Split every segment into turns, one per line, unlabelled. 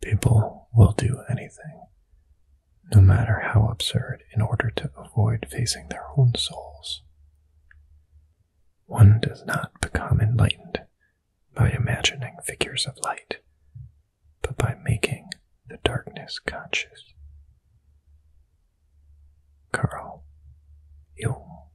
People will do anything, no matter how absurd, in order to avoid facing their own souls. One does not become enlightened by imagining figures of light, but by making the darkness conscious. Carl Jung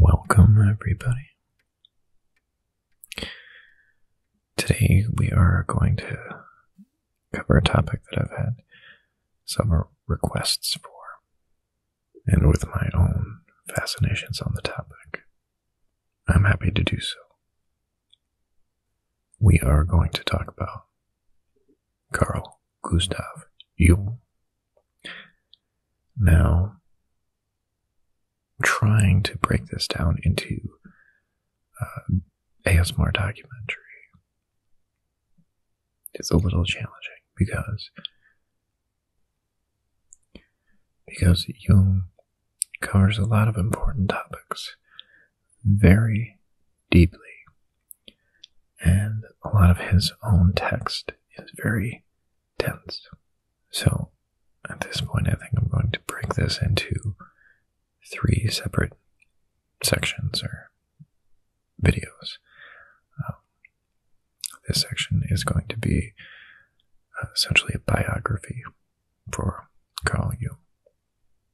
Welcome, everybody. Today we are going to cover a topic that I've had several requests for, and with my own fascinations on the topic. I'm happy to do so. We are going to talk about Carl Gustav Jung. Now, trying to break this down into uh, ASMR documentary is a little challenging because because Jung covers a lot of important topics very deeply and a lot of his own text is very tense. So at this point, I think I'm going to break this into three separate sections or videos. Um, this section is going to be uh, essentially a biography for Carl Jung.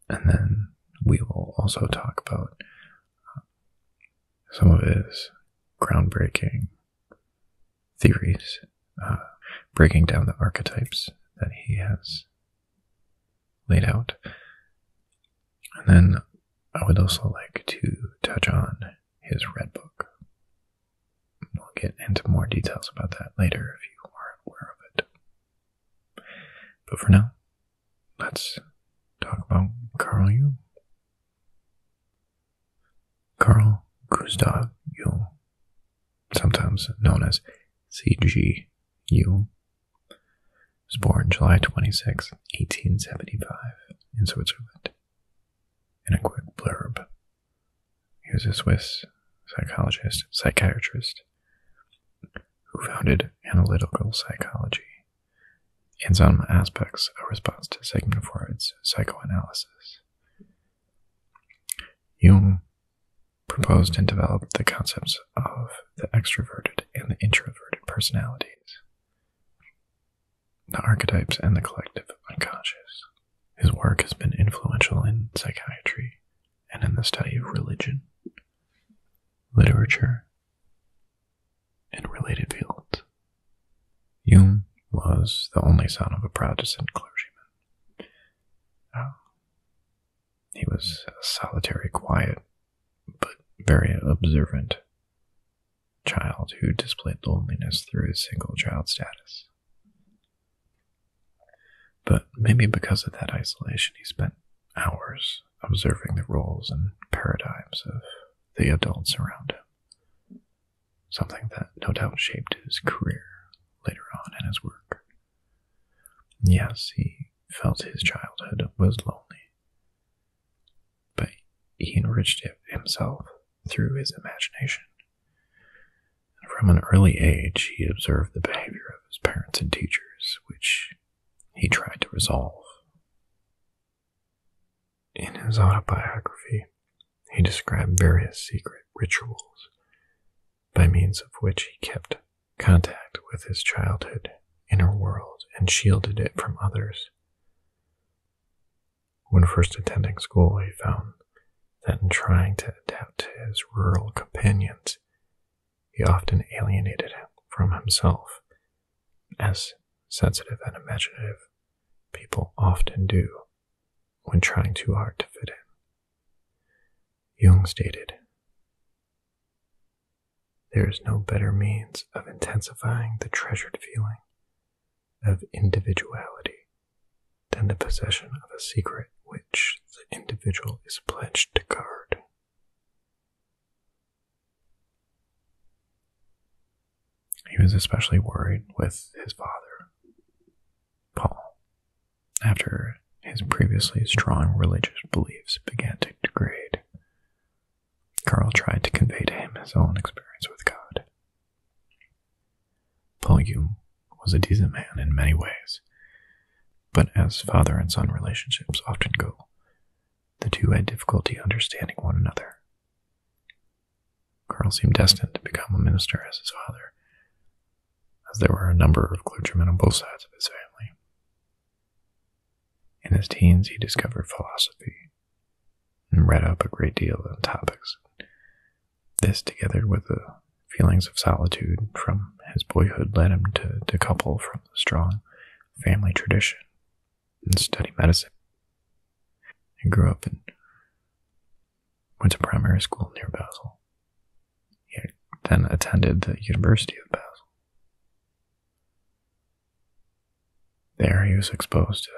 And then we will also talk about uh, some of his groundbreaking theories, uh, breaking down the archetypes that he has laid out. And then I would also like to touch on his red book. We'll get into more details about that later if you are aware of it. But for now, let's talk about Carl Jung. Carl Gustav Jung, sometimes known as C.G. Jung, was born July 26, 1875, in Switzerland. In a quick blurb, he was a Swiss psychologist, psychiatrist, who founded analytical psychology and some aspects of response to Sigmund Freud's psychoanalysis. Jung proposed and developed the concepts of the extroverted and the introverted personalities, the archetypes, and the collective unconscious. His work has been influential in psychiatry and in the study of religion, literature, and related fields. Hume was the only son of a Protestant clergyman. Oh. He was a solitary, quiet, but very observant child who displayed loneliness through his single child status. But maybe because of that isolation, he spent hours observing the roles and paradigms of the adults around him something that no doubt shaped his career later on in his work. Yes, he felt his childhood was lonely, but he enriched it himself through his imagination. from an early age, he observed the behavior of his parents and teachers, which he tried to resolve. In his autobiography, he described various secret rituals by means of which he kept contact with his childhood inner world and shielded it from others. When first attending school, he found that in trying to adapt to his rural companions, he often alienated him from himself, as sensitive and imaginative people often do when trying too hard to fit in. Jung stated, There is no better means of intensifying the treasured feeling of individuality than the possession of a secret which the individual is pledged to guard. He was especially worried with his father, Paul, after his previously strong religious beliefs began to degrade. Carl tried to convey to him his own experience with God. Paul Hume was a decent man in many ways, but as father and son relationships often go, the two had difficulty understanding one another. Karl seemed destined to become a minister as his father, as there were a number of clergymen on both sides of his family. In his teens, he discovered philosophy and read up a great deal on topics. This, together with the feelings of solitude from his boyhood, led him to decouple from the strong family tradition and study medicine. He grew up and went to primary school near Basel. He then attended the University of Basel. There he was exposed to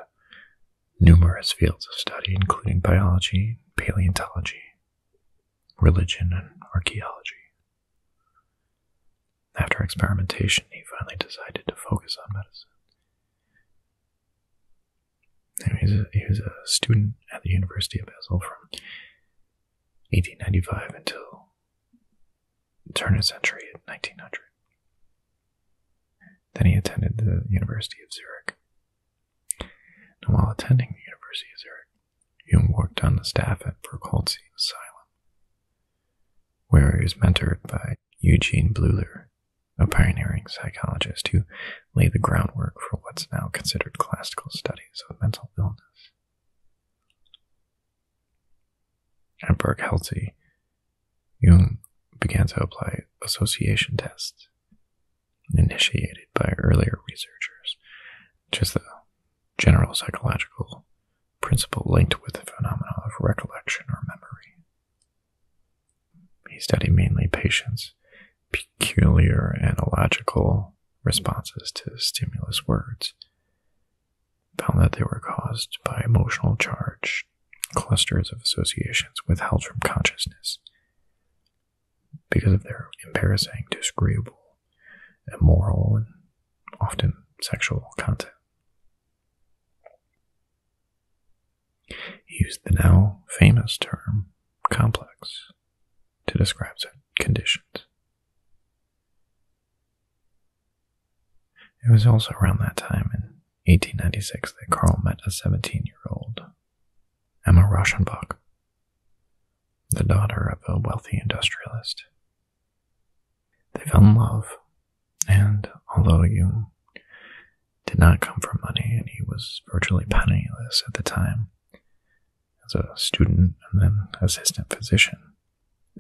numerous fields of study, including biology, paleontology, religion, and archaeology. After experimentation, he finally decided to focus on medicine. He was, a, student at the University of Basel from 1895 until the turn of century 1900. Then he attended the University of Zurich. And while attending the University of Zurich, Jung worked on the staff at Berkholzi Asylum, where he was mentored by Eugene Bleuler, a pioneering psychologist who laid the groundwork for what's now considered classical studies of mental illness. At Berkelsey, Jung began to apply association tests initiated by earlier researchers, which is the general psychological principle linked with the phenomena of recollection or memory. He studied mainly patients' peculiar analogical responses to stimulus words, found that they were caused by emotional charge, clusters of associations withheld from consciousness because of their embarrassing, disagreeable, immoral, and often sexual content. He used the now famous term complex to describe such conditions. It was also around that time in 1896 that Carl met a 17 year old, Emma Rauschenbach, the daughter of a wealthy industrialist. They fell in love and although you did not come for money, and he was virtually penniless at the time, as a student and then assistant physician,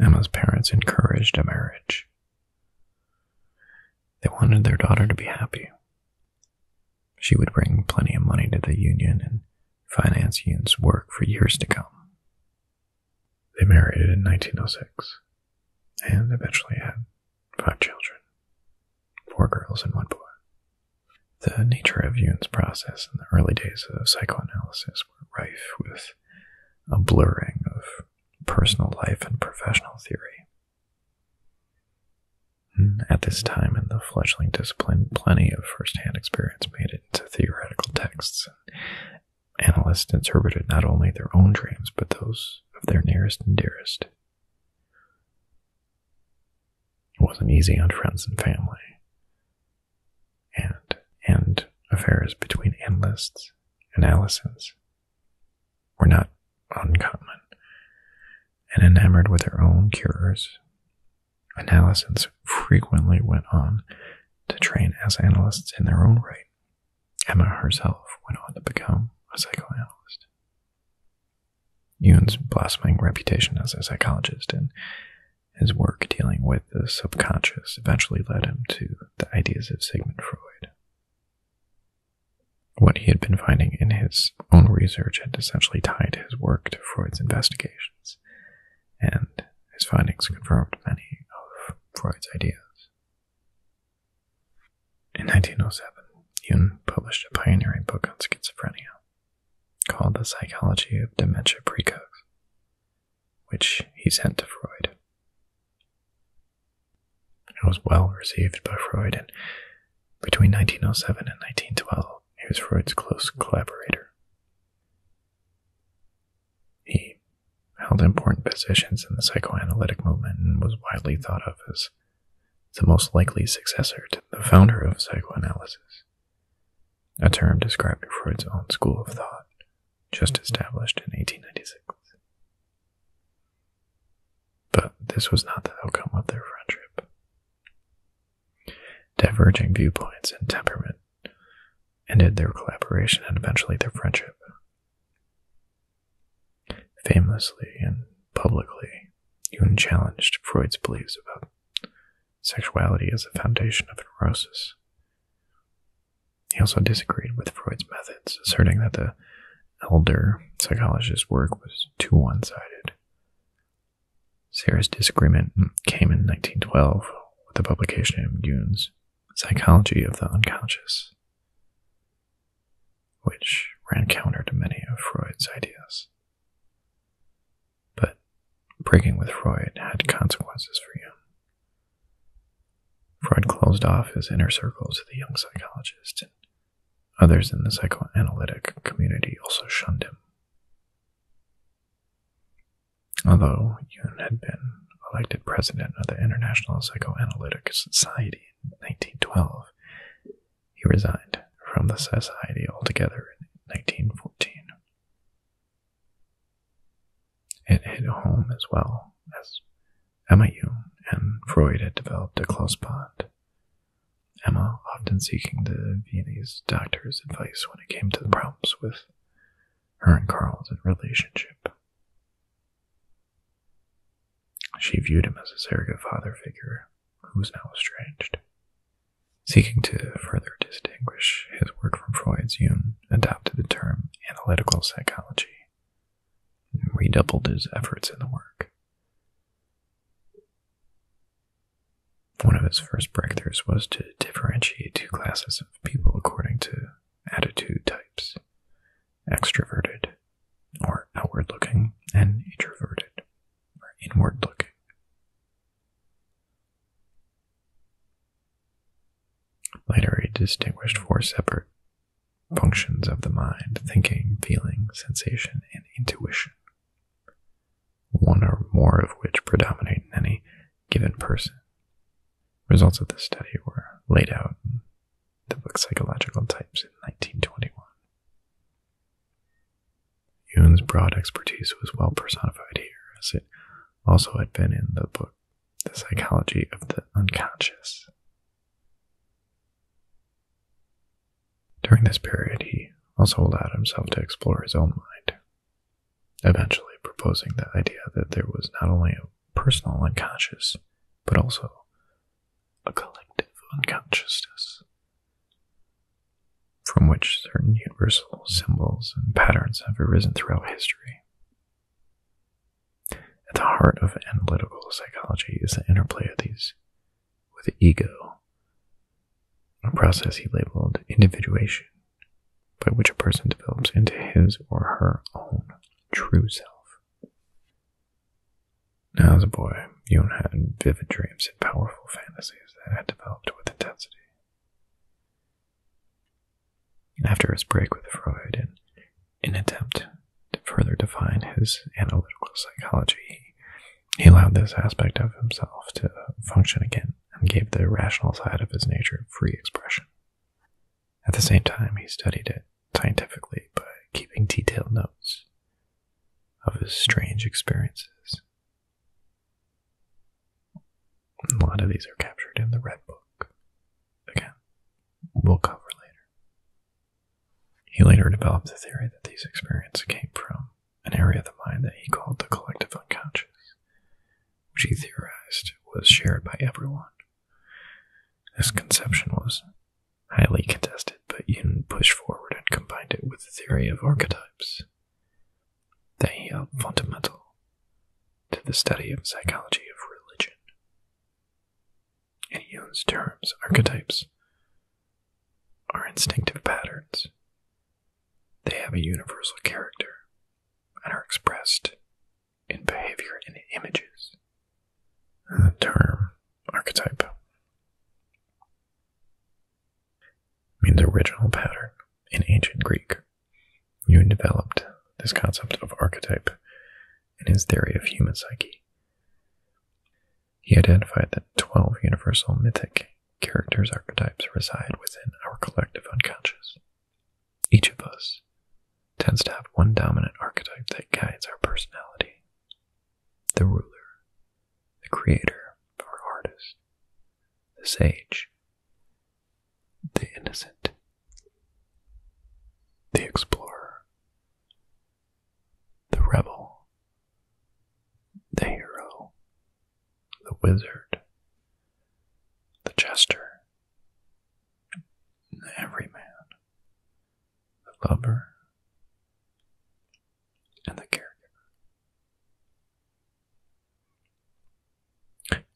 Emma's parents encouraged a marriage. They wanted their daughter to be happy. She would bring plenty of money to the union and finance Yoon's work for years to come. They married in 1906 and eventually had five children, four girls and one boy. The nature of Jung's process in the early days of psychoanalysis were rife with a blurring of personal life and professional theory. Hmm, at this time in the fledgling discipline, plenty of first-hand experience made it into theoretical texts. Analysts interpreted not only their own dreams, but those of their nearest and dearest. It wasn't easy on friends and family, and and affairs between analysts and Allisons were not uncommon, and enamored with their own cures. Analysons frequently went on to train as analysts in their own right Emma herself went on to become a psychoanalyst. Jung's blossoming reputation as a psychologist and his work dealing with the subconscious eventually led him to the ideas of Sigmund Freud. What he had been finding in his own research had essentially tied his work to Freud's investigations, and his findings confirmed many of Freud's ideas. In 1907, Jung published a pioneering book on schizophrenia called The Psychology of Dementia Praecox*, which he sent to Freud. It was well received by Freud, and between 1907 and 1912, he was Freud's close collaborator. He held important positions in the psychoanalytic movement and was widely thought of as the most likely successor to the founder of psychoanalysis, a term describing Freud's own school of thought, just established in 1896. But this was not the outcome of their friendship. Diverging viewpoints and temperament ended their collaboration and eventually their friendship Famously and publicly, Jung challenged Freud's beliefs about sexuality as a foundation of neurosis. He also disagreed with Freud's methods, asserting that the elder psychologist's work was too one sided. Sara's disagreement came in 1912 with the publication of Jung's Psychology of the Unconscious which ran counter to many of Freud's ideas. But breaking with Freud had consequences for Jung. Freud closed off his inner circle to the young psychologist, and others in the psychoanalytic community also shunned him. Although Jung had been elected president of the International Psychoanalytic Society in 1912, he resigned from the society altogether in 1914. It hit home as well as Emma and Freud had developed a close bond. Emma often seeking the Viennese doctor's advice when it came to the problems with her and Carl's relationship. She viewed him as a surrogate father figure who was now estranged. Seeking to further distinguish his work from Freud's, Jung adopted the term analytical psychology and redoubled his efforts in the work. One of his first breakthroughs was to differentiate two classes of people according to attitude types extroverted, or outward looking, and introverted, or inward looking. Later, he distinguished four separate functions of the mind thinking, feeling, sensation, and intuition, one or more of which predominate in any given person. Results of this study were laid out the book Psychological Types in 1921. Yoon's broad expertise was well personified here, as it also had been in the book The Psychology of the Unconscious. During this period, he also allowed himself to explore his own mind, eventually proposing the idea that there was not only a personal unconscious, but also a collective unconsciousness from which certain universal symbols and patterns have arisen throughout history. At the heart of analytical psychology is the interplay of these with the ego, a process he labeled individuation, by which a person develops into his or her own true self as a boy, Yoon had vivid dreams and powerful fantasies that had developed with intensity. After his break with Freud, in an attempt to further define his analytical psychology, he allowed this aspect of himself to function again and gave the rational side of his nature free expression. At the same time, he studied it scientifically by keeping detailed notes of his strange experiences. A lot of these are captured in the Red Book. Again, we'll cover later. He later developed the theory that these experiences came from an area of the mind that he called the collective unconscious, which he theorized was shared by everyone. This conception was highly contested, but Jung pushed forward and combined it with the theory of archetypes that he held fundamental to the study of psychology of religion. In Jung's terms, archetypes are instinctive patterns. They have a universal character and are expressed in behavior and images. The term archetype means original pattern in ancient Greek. You developed this concept of archetype in his theory of human psyche. He identified that 12 universal mythic characters' archetypes reside within our collective unconscious. Each of us tends to have one dominant archetype that guides our personality the ruler, the creator the artist, the sage, the innocent, the explorer, the rebel, the hero, the wizard, the jester, every man, the lover and the caregiver,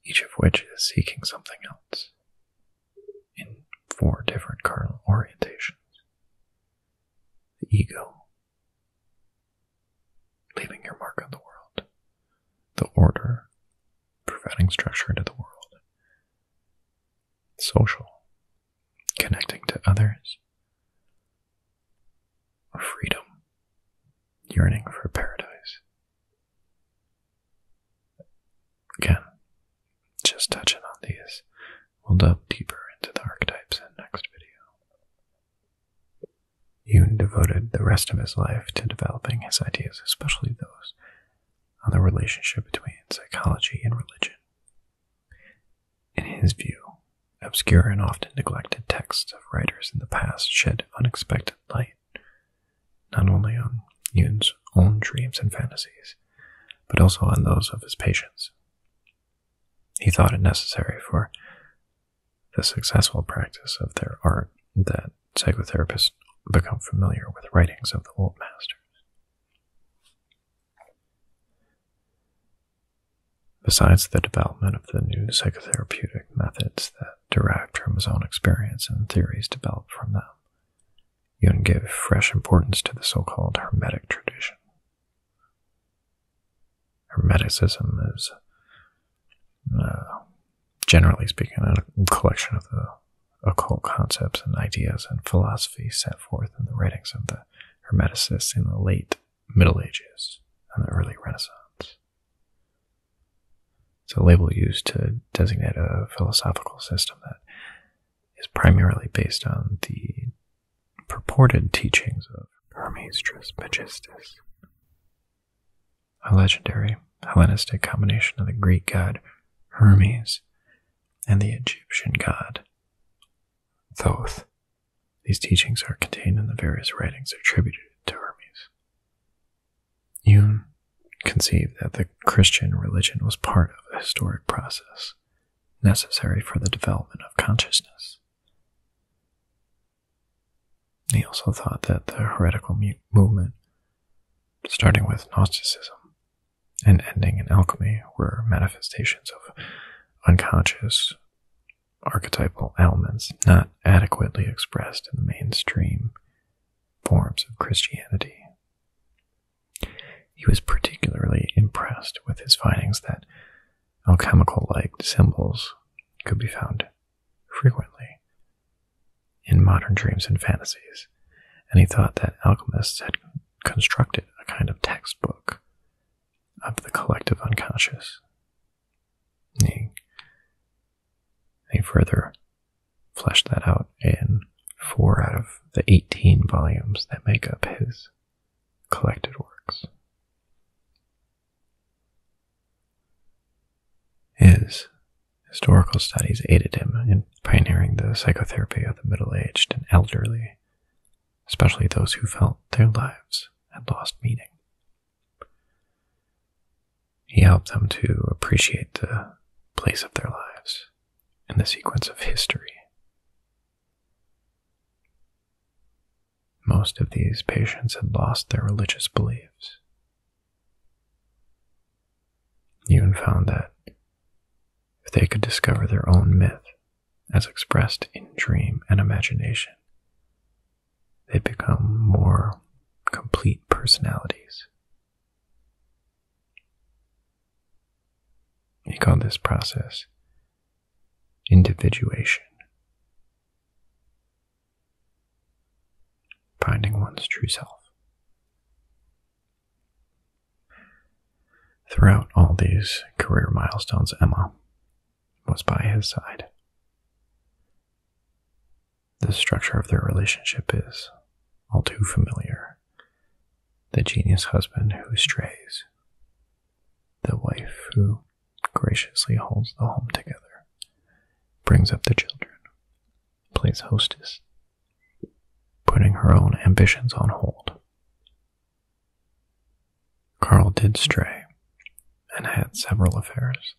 each of which is seeking something else in four different cardinal orientations. The ego, leaving your mark on the world, the order, providing structure to the world, social, connecting to others, freedom, yearning for paradise. Again, just touching on these. We'll delve deeper into the archetypes in next video. Yoon devoted the rest of his life to developing his ideas, especially those on the relationship between psychology and religion. In his view, obscure and often neglected texts of writers in the past shed unexpected light not only on Yun's own dreams and fantasies, but also on those of his patients. He thought it necessary for the successful practice of their art that psychotherapists become familiar with writings of the old masters. Besides the development of the new psychotherapeutic methods that derived from his own experience and theories developed from them, Jung gave fresh importance to the so-called Hermetic tradition. Hermeticism is uh, generally speaking, a collection of the occult concepts and ideas and philosophy set forth in the writings of the Hermeticists in the late Middle Ages and the early Renaissance. It's a label used to designate a philosophical system that is primarily based on the purported teachings of Hermes Trismegistus a legendary Hellenistic combination of the Greek god Hermes and the Egyptian god Thoth. These teachings are contained in the various writings attributed to Hermes. Yoon conceived that the Christian religion was part of a historic process necessary for the development of consciousness. He also thought that the heretical movement starting with Gnosticism and ending in alchemy, were manifestations of unconscious archetypal elements not adequately expressed in the mainstream forms of Christianity. He was particularly impressed with his findings that alchemical like symbols could be found frequently in modern dreams and fantasies, and he thought that alchemists had constructed a kind of textbook of the collective unconscious. He, further fleshed that out in four out of the 18 volumes that make up his collected works. Is. Historical studies aided him in pioneering the psychotherapy of the middle aged and elderly, especially those who felt their lives had lost meaning. He helped them to appreciate the place of their lives in the sequence of history. Most of these patients had lost their religious beliefs, Jung found that if they could discover their own myth as expressed in dream and imagination, they become more complete personalities. He called this process individuation finding one's true self. Throughout all these career milestones, Emma was by his side. The structure of their relationship is all too familiar. The genius husband who strays, the wife who graciously holds the home together, brings up the children, plays hostess, putting her own ambitions on hold. Carl did stray and had several affairs,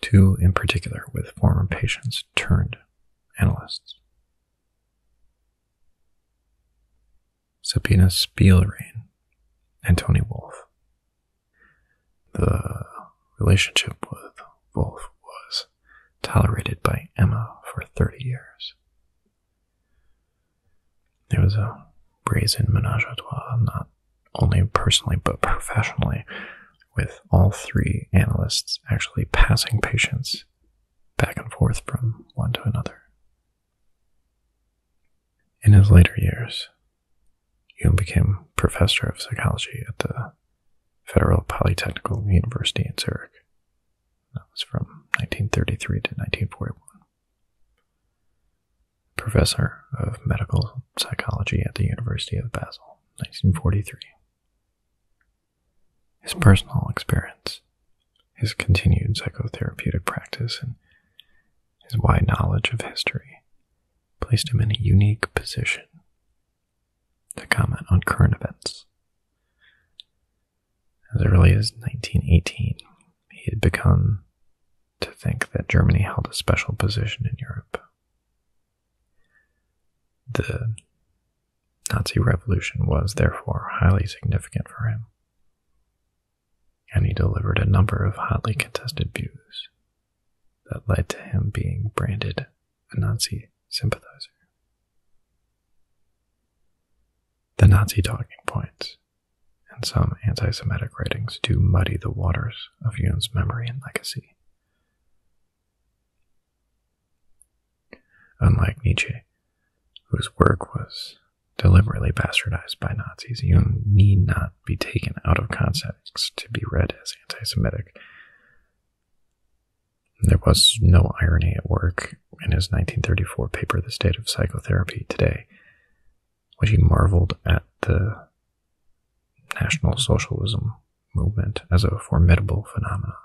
two in particular with former patients turned analysts. Sabina Spielrein and Tony Wolfe. The relationship with Wolf was tolerated by Emma for 30 years. It was a brazen menage a trois, not only personally but professionally, with all three analysts actually passing patients back and forth from one to another. In his later years, Jung became professor of psychology at the Federal Polytechnical University in Zurich. That was from 1933 to 1941. Professor of Medical Psychology at the University of Basel, 1943. His personal experience, his continued psychotherapeutic practice, and his wide knowledge of history placed him in a unique position to comment on current events. As early as 1918, he had begun to think that Germany held a special position in Europe. The Nazi Revolution was therefore highly significant for him, and he delivered a number of hotly contested views that led to him being branded a Nazi sympathizer. The Nazi talking points and some anti Semitic writings do muddy the waters of Yun's memory and legacy. Unlike Nietzsche, whose work was deliberately bastardized by Nazis, Yun need not be taken out of context to be read as anti Semitic, there was no irony at work in his 1934 paper, The State of Psychotherapy Today, when he marveled at the National Socialism movement as a formidable phenomenon.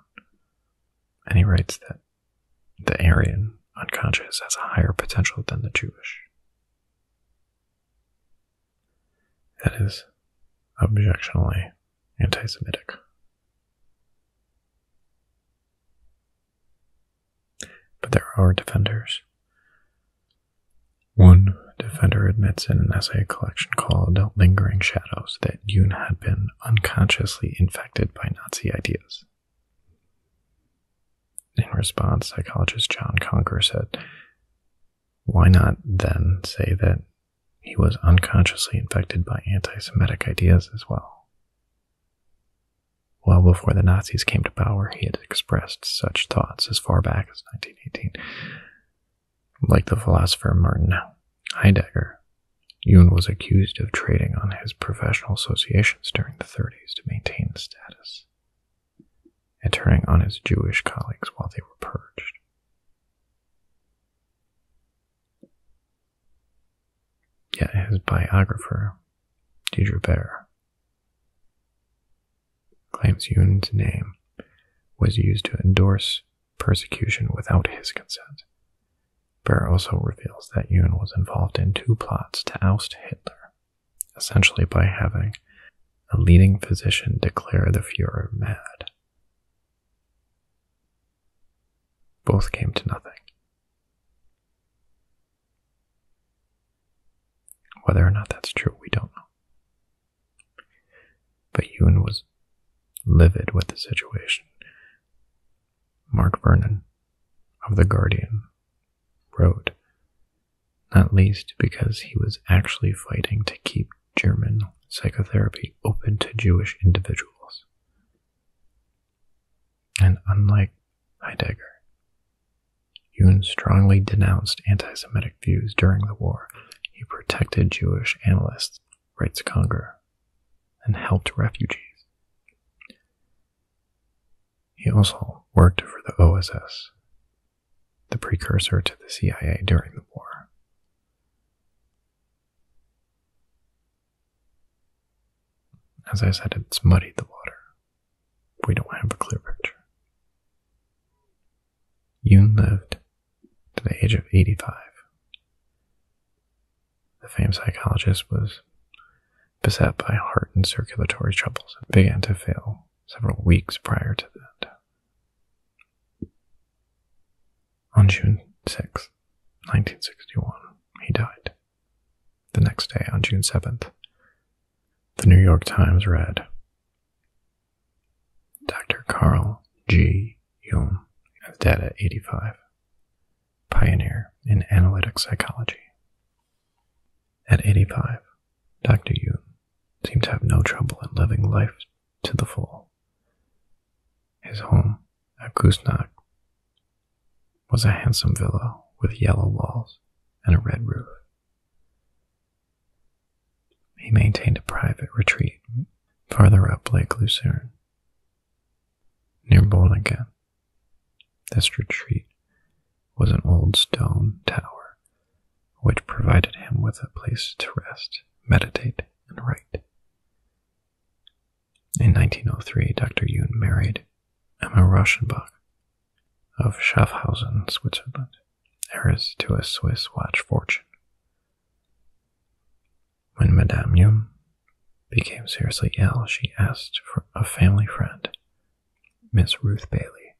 And he writes that the Aryan unconscious has a higher potential than the Jewish that is objectionally anti Semitic. But there are defenders. One defender admits in an essay collection called Lingering Shadows that Yoon had been unconsciously infected by Nazi ideas. In response, psychologist John Conker said, why not then say that he was unconsciously infected by anti Semitic ideas as well? Well before the Nazis came to power, he had expressed such thoughts as far back as 1918. Like the philosopher Martin Heidegger, Jung was accused of trading on his professional associations during the 30s to maintain his status, and turning on his Jewish colleagues while they were purged. Yet his biographer, Deidre Baer, claims Yoon's name was used to endorse persecution without his consent. Baer also reveals that Yoon was involved in two plots to oust Hitler, essentially by having a leading physician declare the Fuhrer mad. Both came to nothing. Whether or not that's true, we don't know. But Ewan was livid with the situation. Mark Vernon of The Guardian wrote not least because he was actually fighting to keep German psychotherapy open to Jewish individuals. And unlike Heidegger, Jung strongly denounced anti Semitic views during the war. He protected Jewish analysts, writes Conger, and helped refugees. He also worked for the OSS the precursor to the CIA during the war. As I said, it's muddied the water. We don't have a clear picture. Yoon lived to the age of 85. The famed psychologist was beset by heart and circulatory troubles and began to fail several weeks prior to that. On June 6, 1961, he died. The next day, on June 7th, the New York Times read Dr. Carl G. Jung is dead at 85, pioneer in analytic psychology. At 85, Dr. Jung seemed to have no trouble in living life to the full. His home at Kusnak was a handsome villa with yellow walls and a red roof. He maintained a private retreat farther up Lake Lucerne, near Bolingen. This retreat was an old stone tower which provided him with a place to rest, meditate, and write. In 1903, Dr. Jung married Emma Rauschenbach of Schaffhausen, Switzerland, heiress to a Swiss watch fortune. When Madame Jung became seriously ill, she asked for a family friend, Miss Ruth Bailey,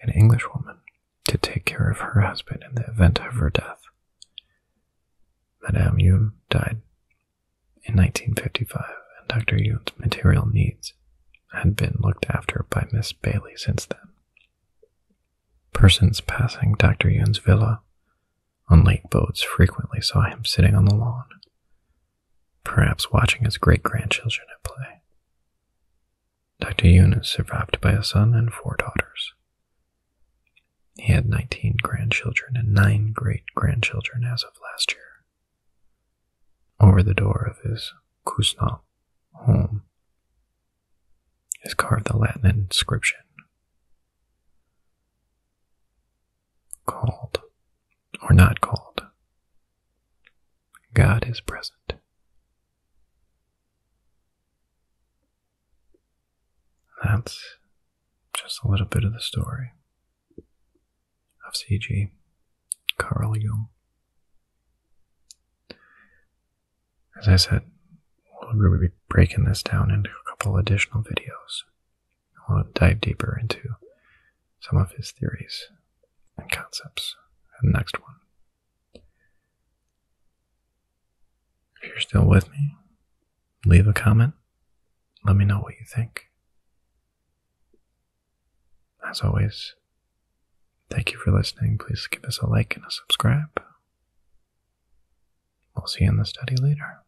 an Englishwoman to take care of her husband in the event of her death. Madame Yuen died in 1955, and Dr. Yuen's material needs had been looked after by Miss Bailey since then. Persons passing Dr. Yuen's villa on lake boats frequently saw him sitting on the lawn, perhaps watching his great grandchildren at play. Dr. Yoon survived by a son and four daughters. He had 19 grandchildren and 9 great grandchildren as of last year. Over the door of his Kusnal home is carved the Latin inscription called, or not called, God is present, that's just a little bit of the story of C.G. Carl Jung. As I said, we'll be breaking this down into a couple additional videos. I want to dive deeper into some of his theories and concepts the next one. If you're still with me, leave a comment. Let me know what you think. As always, thank you for listening. Please give us a like and a subscribe. We'll see you in the study later.